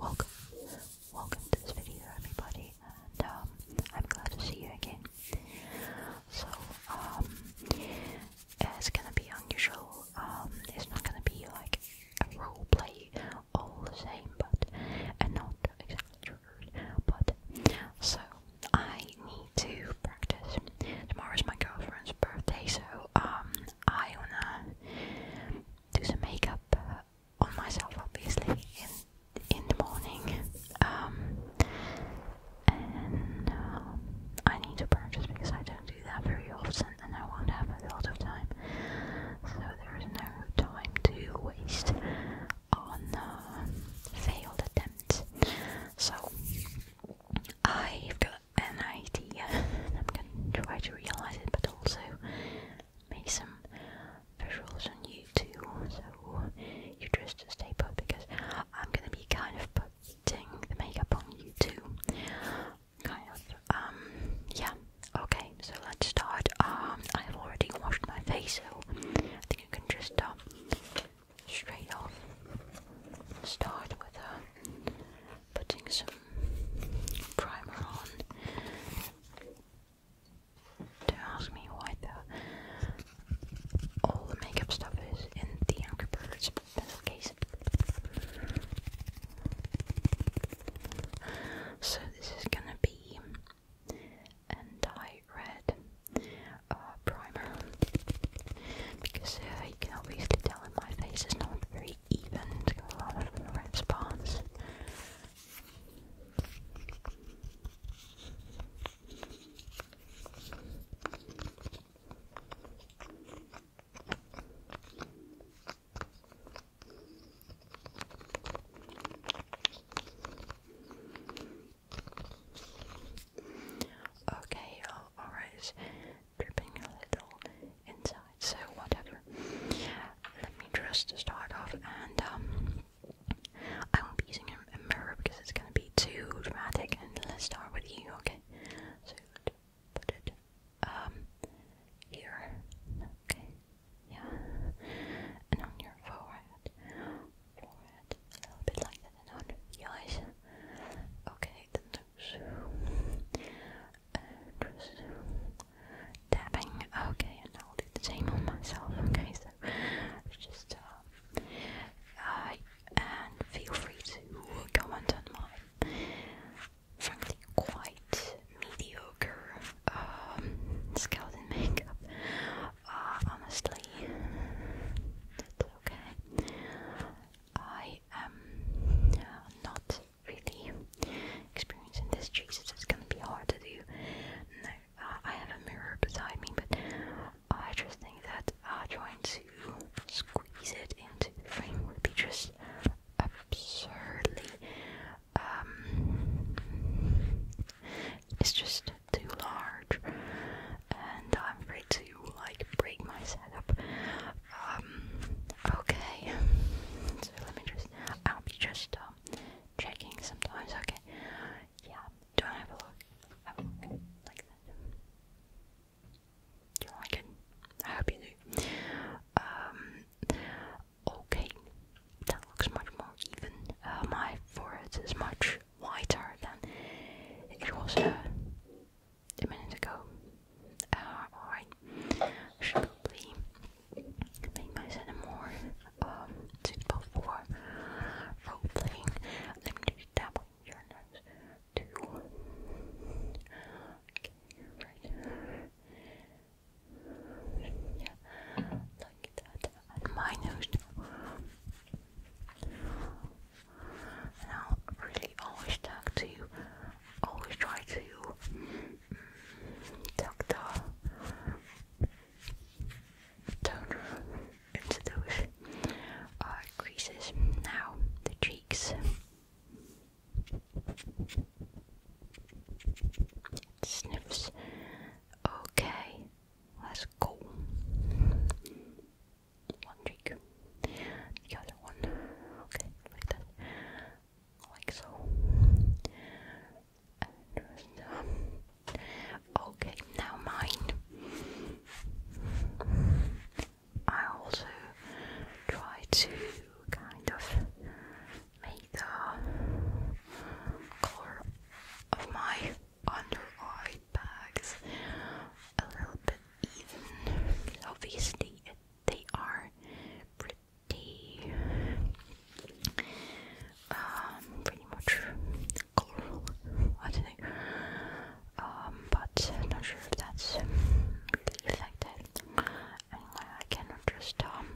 Welcome, welcome to this video everybody and um, I'm glad to see you again. So um, it's gonna be unusual, um, it's not gonna be like a role play all the same but, and not exactly triggered, but so I need to practice. Tomorrow's my girlfriend's birthday so um, I wanna do some makeup on myself, obviously, in in the morning. Um, and um, I need to practice because I don't do that very often, and I won't have a lot of time. So there is no time to waste on uh, failed attempts. So I've got an idea, I'm going to try to realize it, but also make some visuals on YouTube. So you just stay put because I'm going to be kind of putting the makeup on YouTube. Kind of. Um. Yeah. Okay. So let's start. Um. I've already washed my face, so I think you can just start um, straight off. Start with a uh, putting some primer on. Don't ask me why the all the makeup stuff is in the Angry Birds, but that's So this is gonna be and red uh, primer because uh, you can obviously tell that my face is not very even, it's got a lot of red spots. Okay, all right dripping a little inside, so whatever. Let me just start off and um, I won't be using a, mirror because it's going to be too dramatic and let's start with you, okay? So put it um, here, okay? Yeah, and on your forehead, forehead, a little bit like that, and on the eyes. Okay, tapping. Okay, and I'll do the same on myself. Okay, so just uh, and feel free to comment on my frankly quite mediocre um, skeleton makeup. Uh, honestly, okay. I I am um, not really experiencing this. Jesus, it's gonna be hard to do. No, uh, I have a mirror beside me, but I just think that uh, trying to squeeze it into the frame would be just absurdly. Um, it's just too large, and I'm afraid to like break my setup. Um, okay. So let me just. I'll be just um, checking sometimes. Okay. Yeah. Do I have a look? Oh, okay. Like that. Do you like it? I hope you do. Um. Okay. That looks much more even. Uh, my forehead is much whiter than it was. Uh, a minute ago. Uh, alright, should probably make my set more um, suitable for role playing. Let me just tap on your nose. Two. Okay, Yeah, like that. my nose i really always talk to you, always try to mm, talk to. toner into those uh, creases. Now, the cheeks. sniffs. Okay, let's go one cheek, the other one, okay, like that, like so, okay, now mine, I also try to kind of make the color of my under eye bags a little bit even obviously they are pretty um pretty much colorful I think um but not sure if that's really anyway I cannot just um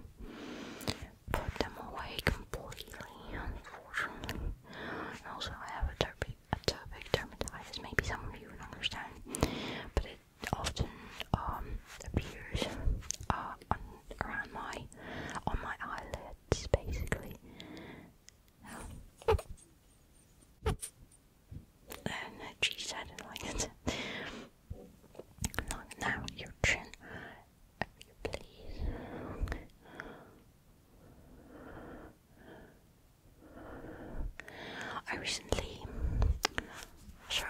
put them away completely unfortunately also I have a atopic dermatitis. Maybe some of you understand, but it often um, appears uh, around my on my eyelids, basically. And uh, geez, I didn't like it. now, your chin, please. I recently so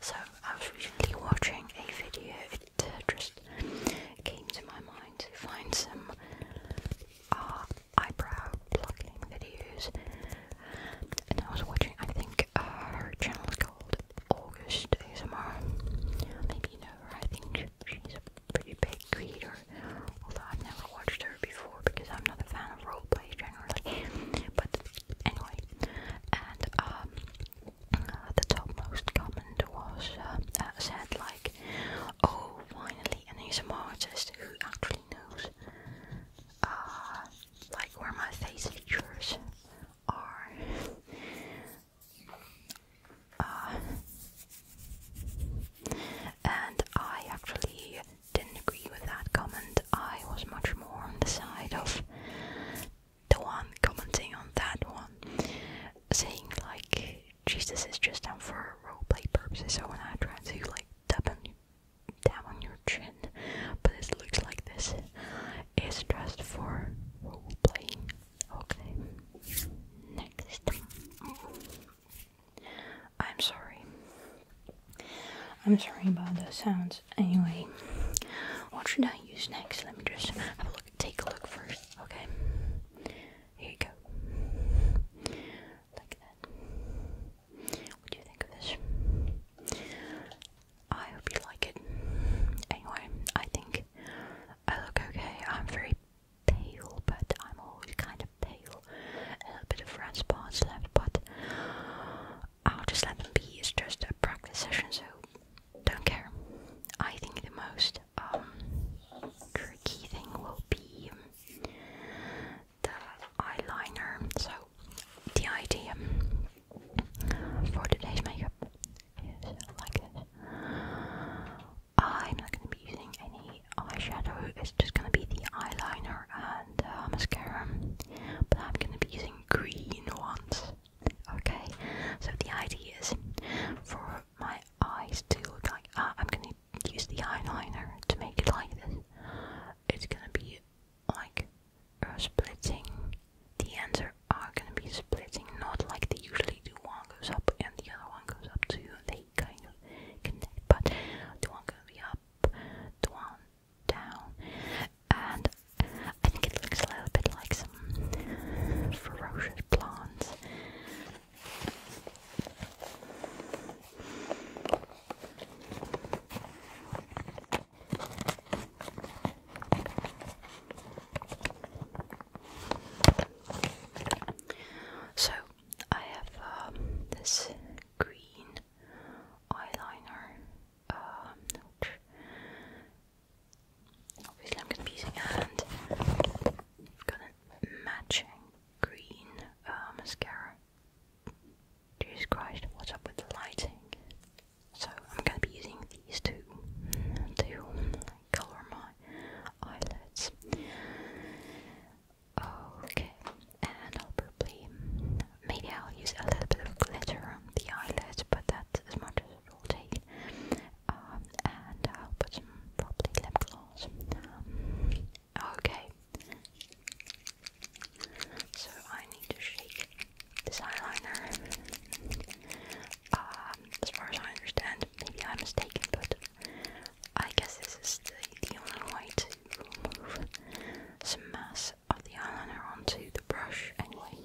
so I was recently watching a video. It uh, just came to my mind to find some uh, eyebrow plucking videos, and I was watching. I think uh, her channel is called August ASMR. Maybe you know her. I think she's a pretty big creator, although I've never watched her before because I'm not a fan of roleplay generally. But anyway, and um uh, the top most comment was uh, uh, said like, "Oh, finally an ASMR artist who actually knows uh, like where my face features are." Uh, and I actually didn't agree with that comment. I was much more on the side of the one commenting on that one, saying like Jesus is just done for roleplay purposes. So when I try to like tap on tap on your chin, but it looks like this, is dressed for roleplaying. Okay, next. I'm sorry. I'm sorry about the sounds. Anyway, what should I use next. Let me just Take a look first. Okay. Here you go. Like that. What do you think of this? I hope you like it. Anyway, I think I look okay. I'm very pale, but I'm always kind of pale. A little bit of red left, but I'll just let them be. It's just a practice session, so don't care. I think the most um, tricky thing will be the eyeliner. So the idea for today's makeup is like this. I'm not going to be using any eyeshadow. It's just going to be the eyeliner and uh, mascara. But I'm going to be using green ones. Okay, so the idea is for my eyes to look like uh, I'm gonna use the eyeliner to make it like this. It's gonna be like uh, splitting. The ends are, are gonna be splitting, not like they usually do. One goes up and the other one goes up too. They kind of connect, but the one gonna be up, the one down, and I think it looks a little bit like some ferocious plants. So I have um, this green eyeliner obviously I'm going to be using a hand. I've got a matching green uh, mascara. Jesus Christ, what's up with the lighting? So I'm going to be using these two to colour my eyelids. Okay, and I'll probably maybe I'll use a little bit of glitter on the eyelids, but as um, um, okay. So I need to shake this eyeliner. Um, as far as I understand, maybe I'm mistaken, but I guess this is the, only way to remove some mass of the eyeliner onto the brush anyway.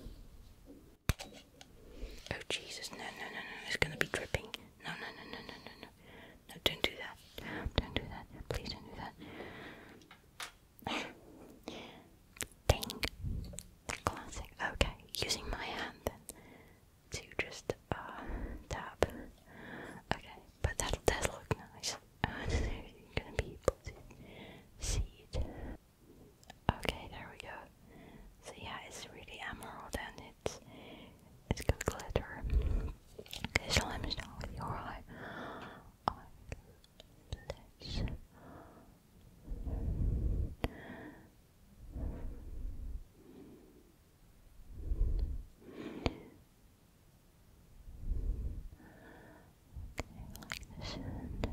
Oh Jesus, no, no, no, no, it's gonna be dripping. No, no, no, no, no, no, no. don't do that. Don't do that. Please don't do that. Okay, using my hand to just uh, tap. Okay, but that does look nice. I don't know if you're gonna be able to see it. Okay, there we go. So yeah, it's really emerald and it's it's got glitter. Okay, so let me your eye like the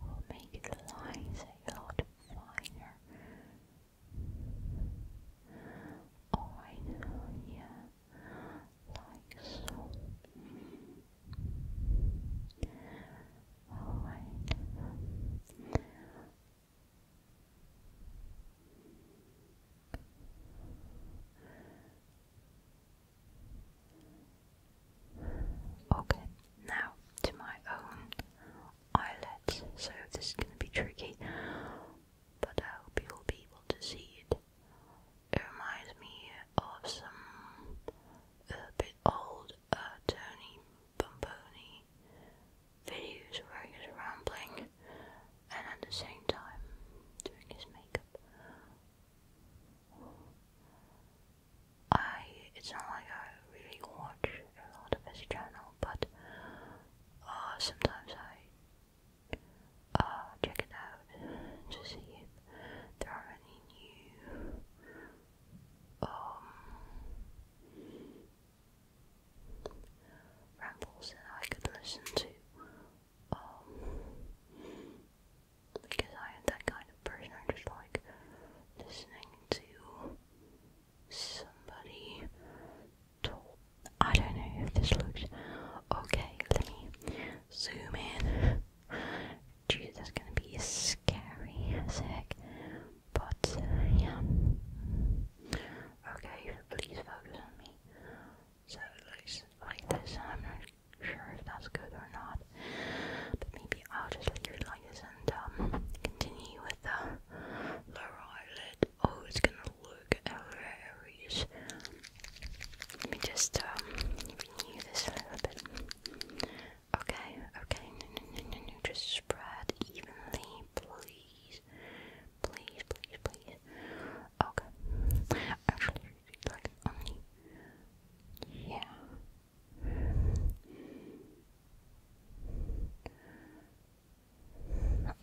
will make the lines a lot finer. Alright, yeah, like so. Alright. Okay, now to my own eyelids. So this is gonna be tricky, but I hope you'll be able to see it. It reminds me of some a bit old uh, Tony Bomboni videos where he's rambling and at the same time doing his makeup. I it's not like I really watch a lot of his channel, but uh, sometimes I uh, check it out to see if there are any new um, rambles that I could listen to. Um, because I am that kind of person. I just like listening to somebody I don't know if this looks okay. Let zoom in. Jeez, that's gonna be scary as heck. But yeah. Okay, please focus on me. So it looks like this, I'm not sure if that's good or not. But maybe I'll just leave it like this and um, continue with the lower Oh, it's gonna look hilarious. Let me just um, renew this a little bit. Okay, okay, no, no, no, no, just spread evenly, please. Please, please, please. Okay. Actually, if you'd like only yeah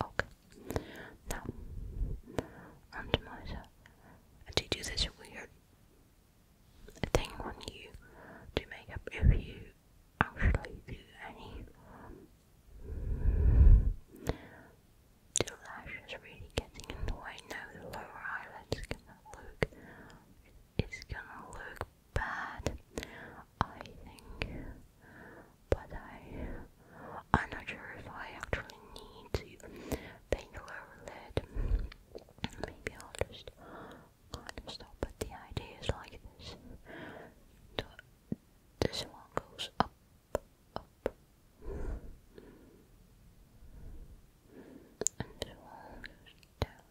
okay now onto do you this weird thing when you do makeup if you actually do any the lash is really getting in the way now. The lower eyelid's gonna look. It's gonna look bad, I think. But I, I'm not sure if I actually need to paint the lower lid. Maybe I'll just stop. But the idea is like this: the, this one goes up up and the wall goes down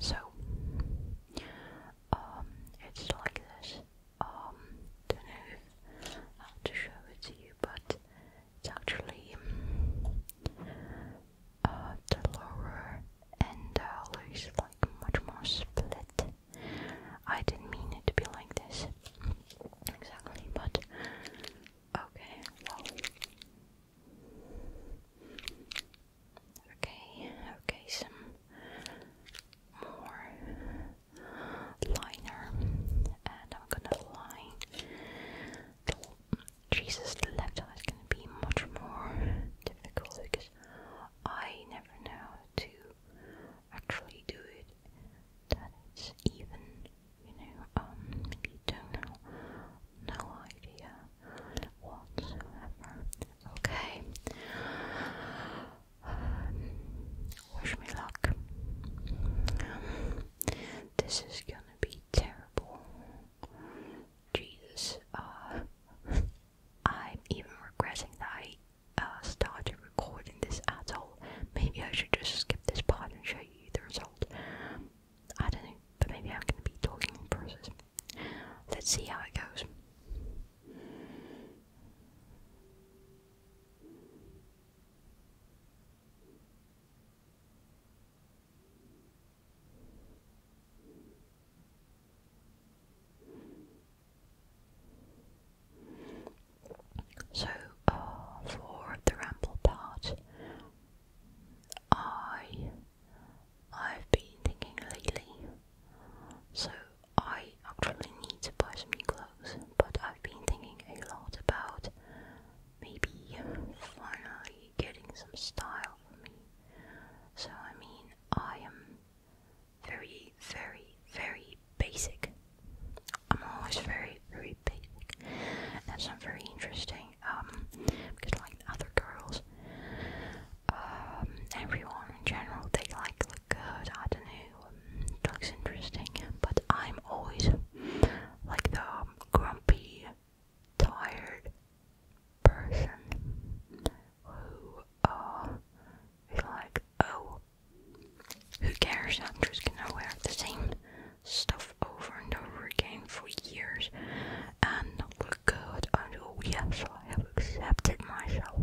so, um, it's like this. Um, don't know how to show it to you, but it's actually uh, the lower end uh, is like much more split. I didn't mean it to be like this exactly, but okay. Well, okay, okay, some more liner, and I'm gonna line Jesus, the left eye is going to be much more difficult because I never know how to actually do it. That's even, you know, um, you don't know, no idea whatsoever. Okay. wish me luck. this is good gonna be terrible. Jesus, uh, I'm even regretting that I uh, started recording this at all. Maybe I should just skip this part and show you the result. I don't know, but maybe I'm gonna be talking in Let's see how it goes. So, uh, for the ramble part, I I've been thinking lately. So I actually need to buy some new clothes, but I've been thinking a lot about maybe finally getting some style for me. So, I mean, I am very, very, very basic. I'm always very, very basic. That's not very interesting, um, because like other girls, um, everyone in general, they like look good, I don't know, um, looks interesting, but I'm always like the um, grumpy, tired person who uh, like, oh, who cares? I'm just gonna wear the same stuff over and over again for years and not look good until yes, I have accepted myself.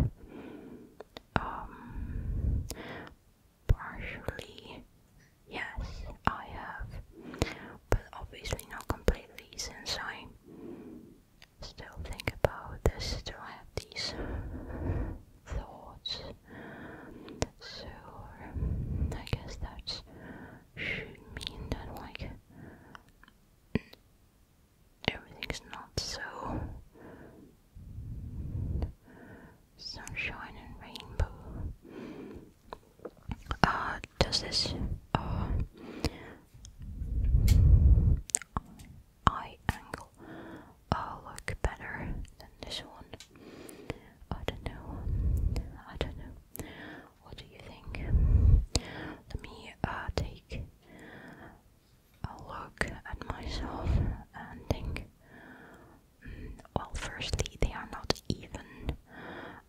Um, partially, yes, I have, but obviously not completely since I still think about this, still have these thoughts. So I guess that should mean that like everything's not so sunshine and rainbow. Uh, does this, uh, eye angle, uh, look better than this one? I don't know. I don't know. What do you think? Let me, uh, take a look at myself and think well, firstly, they are not even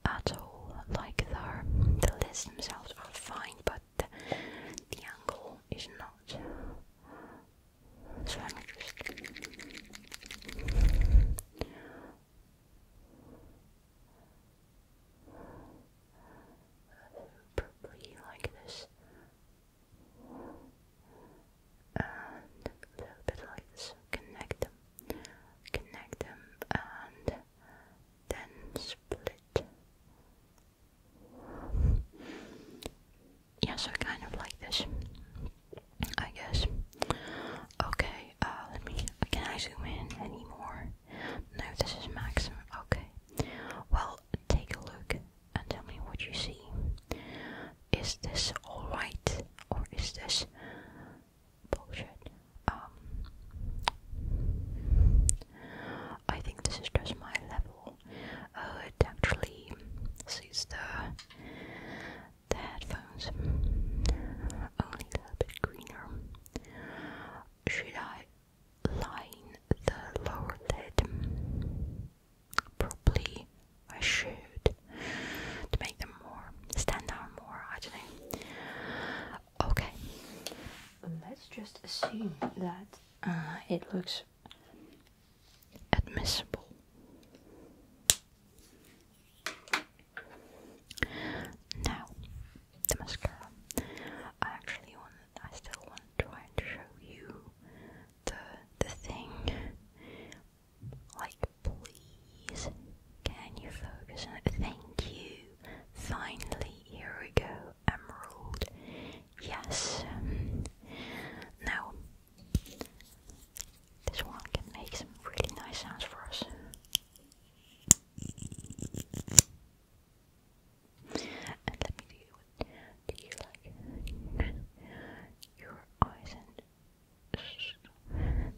at all. Like the, the lists themselves are fine, but the, angle is not. So let me just. Probably like this and a bit like connect them, connect them, and then split. Yeah, so kind of like this, I guess. Okay, uh, let me. Can I zoom in anymore? No, this is maximum. Okay. Well, take a look and tell me what you see. Is this alright or is this bullshit? Um, I think this is just my level. Uh, it actually sees the, the headphones only a bit greener. Should I line the lower lid? Probably I should to make them more stand out more. I don't know. Okay, let's just assume that uh, it looks admissible. Now, the mascara. I actually want. I still want to try and show you the the thing like, please, can you focus Thank you. Finally, here we go. Emerald. Yes. now, this one can make some really nice sounds for us. And let me do do you like your eyes and like that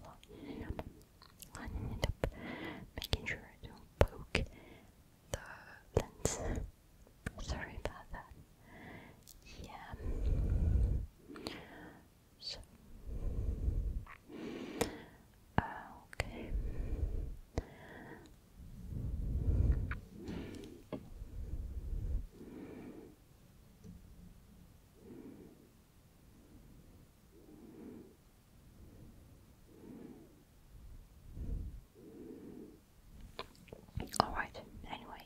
up making sure I don't poke the lens. Sorry about that. Yeah. Uh, okay. All right, anyway.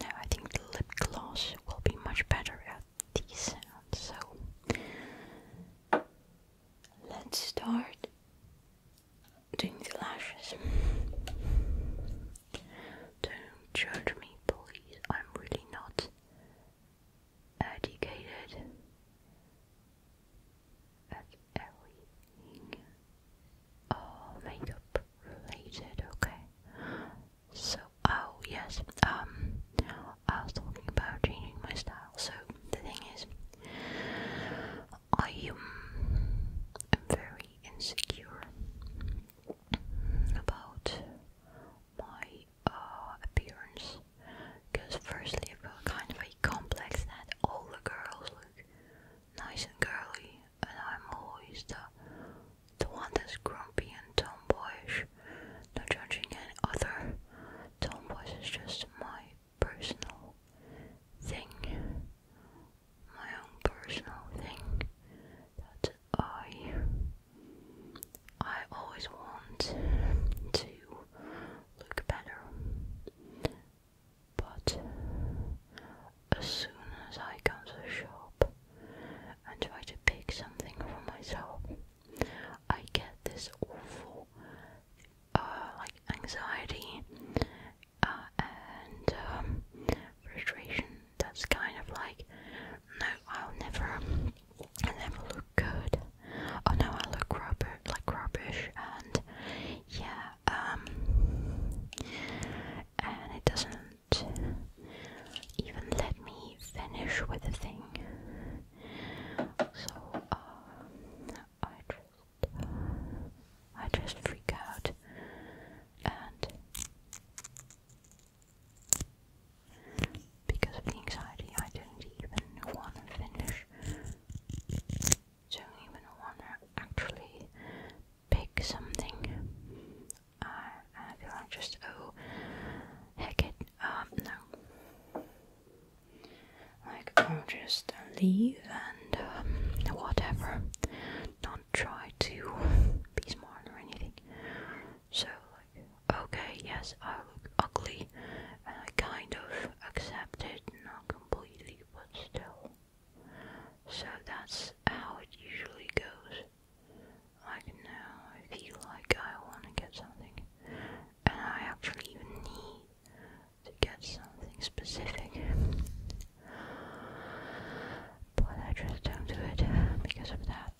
Now I think the lip gloss will be much better at these so let's start doing the lashes. Don't judge me, please. I'm really not educated at everything all makeup related, okay? So oh yes, um I was talking about changing my style, so the thing is I um, am very insecure about my uh, appearance because firstly I've got kind of a complex that all the girls look nice and girly and I'm always the, the one that's grumpy and tomboyish Not judging any other tomboys is just my personal thing my own personal thing that's I I always want to look better, but as soon as I come to the shop and try to pick something for myself, I get this awful uh, like anxiety uh, and um, frustration. That's kind of like no, I'll never, um, i never look good. Oh no, I look rubber, like rubbish, and yeah, um, and it doesn't even let me finish with the thing. So, uh, I just, I just freak out, and because of the anxiety, I didn't even want to finish. Don't even want to actually pick something. I, just, oh, heck it, um, no. Like, I'll just leave and, um, whatever. Not try to be smart or anything. So, like, okay, yes, I look ugly, and I kind of accept it, not completely, but still. So that's how it usually goes. Like, now I feel like I want to get something, and I actually even need to get something specific. But I just don't do it because of that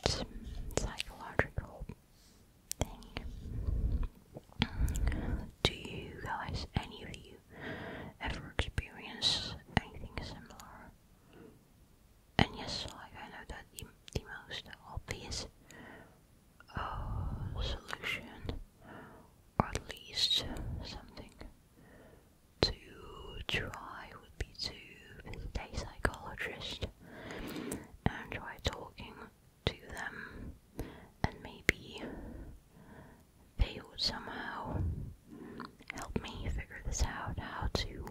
psychological do you guys, any of you, ever experience anything similar? And yes, like I know that the, most obvious uh, solution, or at least something to try be to visit a psychologist and try talking to them, and maybe they will somehow help me figure this out how to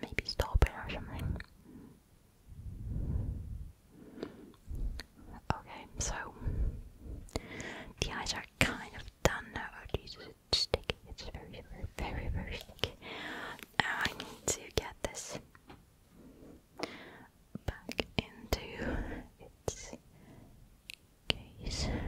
maybe stop it or something. Okay, so the eyes are kind of done now. Jesus, sticky. It's very, very, very, very sticky. I need to get this back into its case. Okay.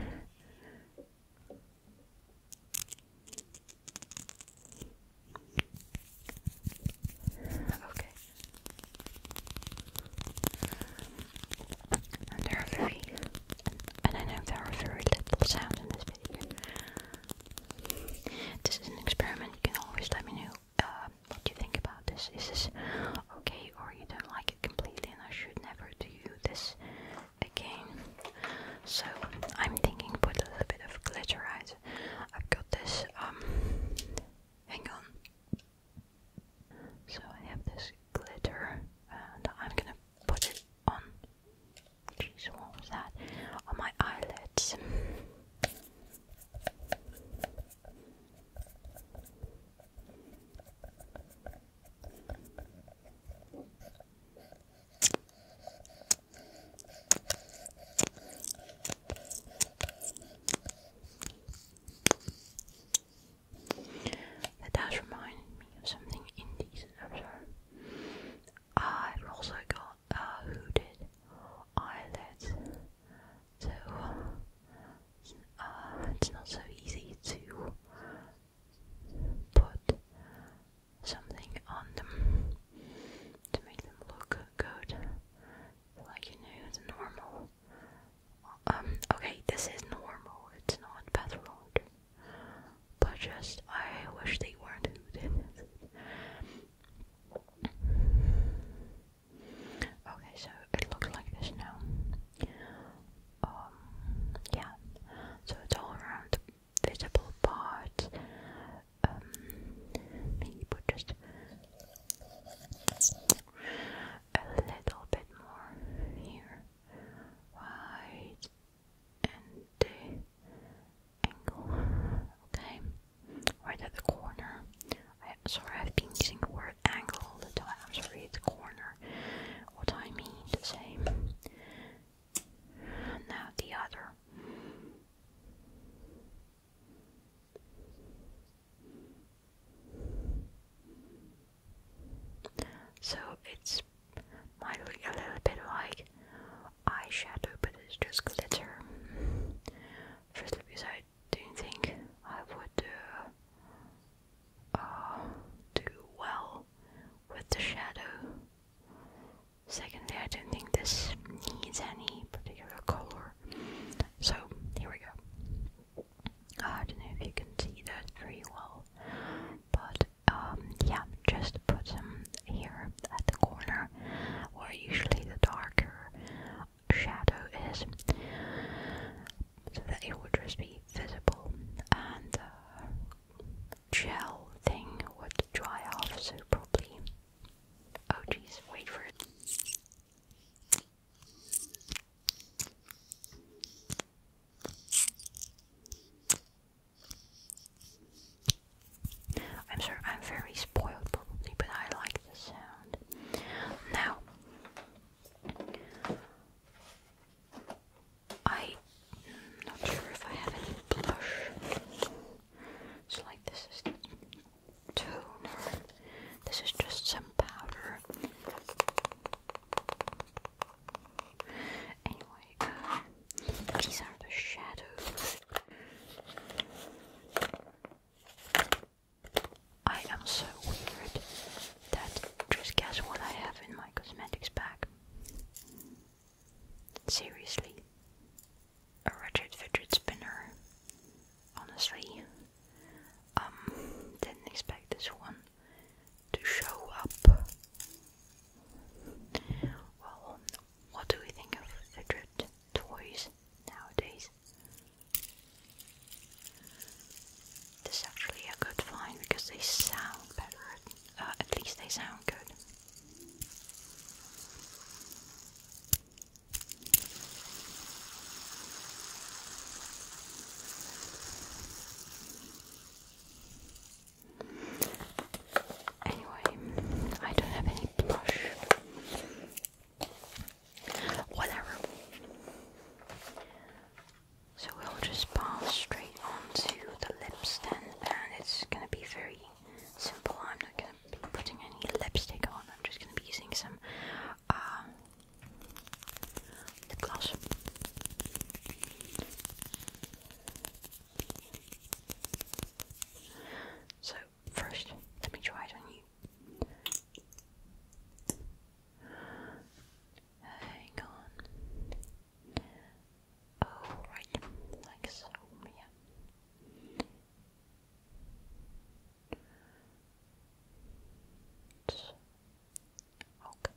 And there are very, and I know there are very little sounds in this this is an experiment. You can always let me know uh, what you think about this. Is this okay, or you don't like it completely, and I should never do this again? So I'm thinking put a little bit of glitter right. I've got this. Um, hang on. So I have this glitter, and I'm gonna put it on Jeez, what was that? On my eyelids. That does remind me of something indecent, I'm sorry. I've uh, also got uh, hooded eyelids, so uh, it's not so easy to put something on them to make them look good, like you know, the normal. Um, okay, this is normal, it's not better but just, I wish they weren't Okay, so it looks like this now. Um, yeah. So it's all around visible part. Um, maybe put just a little bit more here. Right and the angle, okay, right at the corner. I, sorry, I've been using the word angle all the time. I'm sorry, the corner. What I mean to say. Now the other. So it's might look a little bit like eyeshadow, but it's just glitter. Firstly, because I don't think I would uh, uh, do well with the shadow. Secondly, I don't think this needs any particular color. So here we go. I don't know if you can see that very well, but um, yeah, just put them here at the corner where usually the darker shadow is so that it would just be visible and uh, gel thing would dry off so probably oh jeez wait for it I'm sorry, I'm very spoiled probably, but I like the sound. Now, I'm not sure if I have any blush. It's like this is toner. This is just some powder. Anyway, uh, these are the shadows. I am so weird that just guess what I have in my cosmetics bag. Seriously. A ratchet fidget spinner. Honestly. Um, didn't expect this one to show up. Well, what do we think of fidget toys nowadays? This is actually a good find because they sound better. Uh, at least they sound good. Anyway, I don't have any blush. Whatever. So we'll just pass straight on to the lips then, and it's gonna be very simple. I'm not gonna be putting any lipstick on, I'm just gonna be using some uh, lip gloss. So, first, let me try it you. Hang on. Oh, right, like so, yeah. Okay.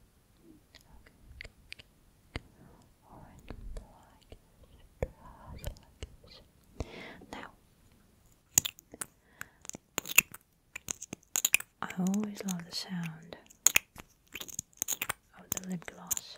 Now, I always love the sound of the lip gloss.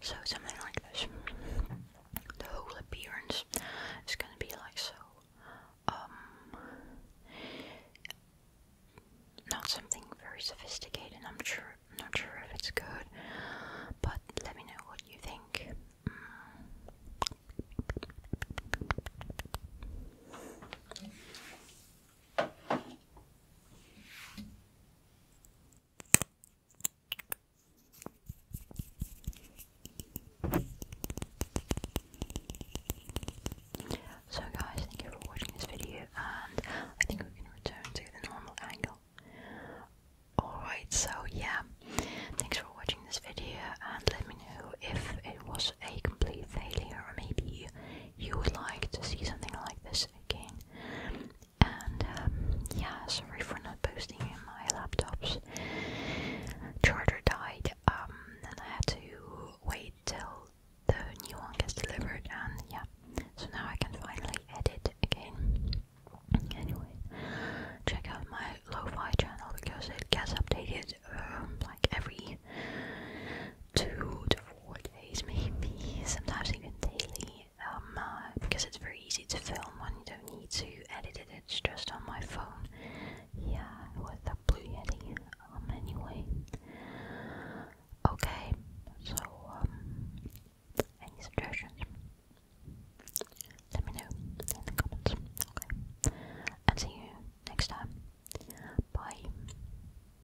So something like this. The whole appearance is gonna be like so. Um, not something very sophisticated, I'm sure not sure if it's good, but let me know what you think. So guys, thank you for watching this video and I think we can return to the normal angle. Alright, so yeah, thanks for watching this video and let me know if it was a complete failure or maybe you, you would like to see something like this again. Um, yeah, sorry for not posting in my laptop's charger died, um, and I had to wait till the new one gets delivered, and yeah, so now I can finally edit again. Anyway, check out my lo-fi channel because it gets updated um, like every two to weekdays, maybe sometimes even daily, um, uh, because it's very easy to film when you don't need to edit it. It's just on my phone. Yeah, with the Blue Yeti. Um, anyway, okay. So, um, any suggestions? Let me know in the comments. Okay, and see you next time. Bye.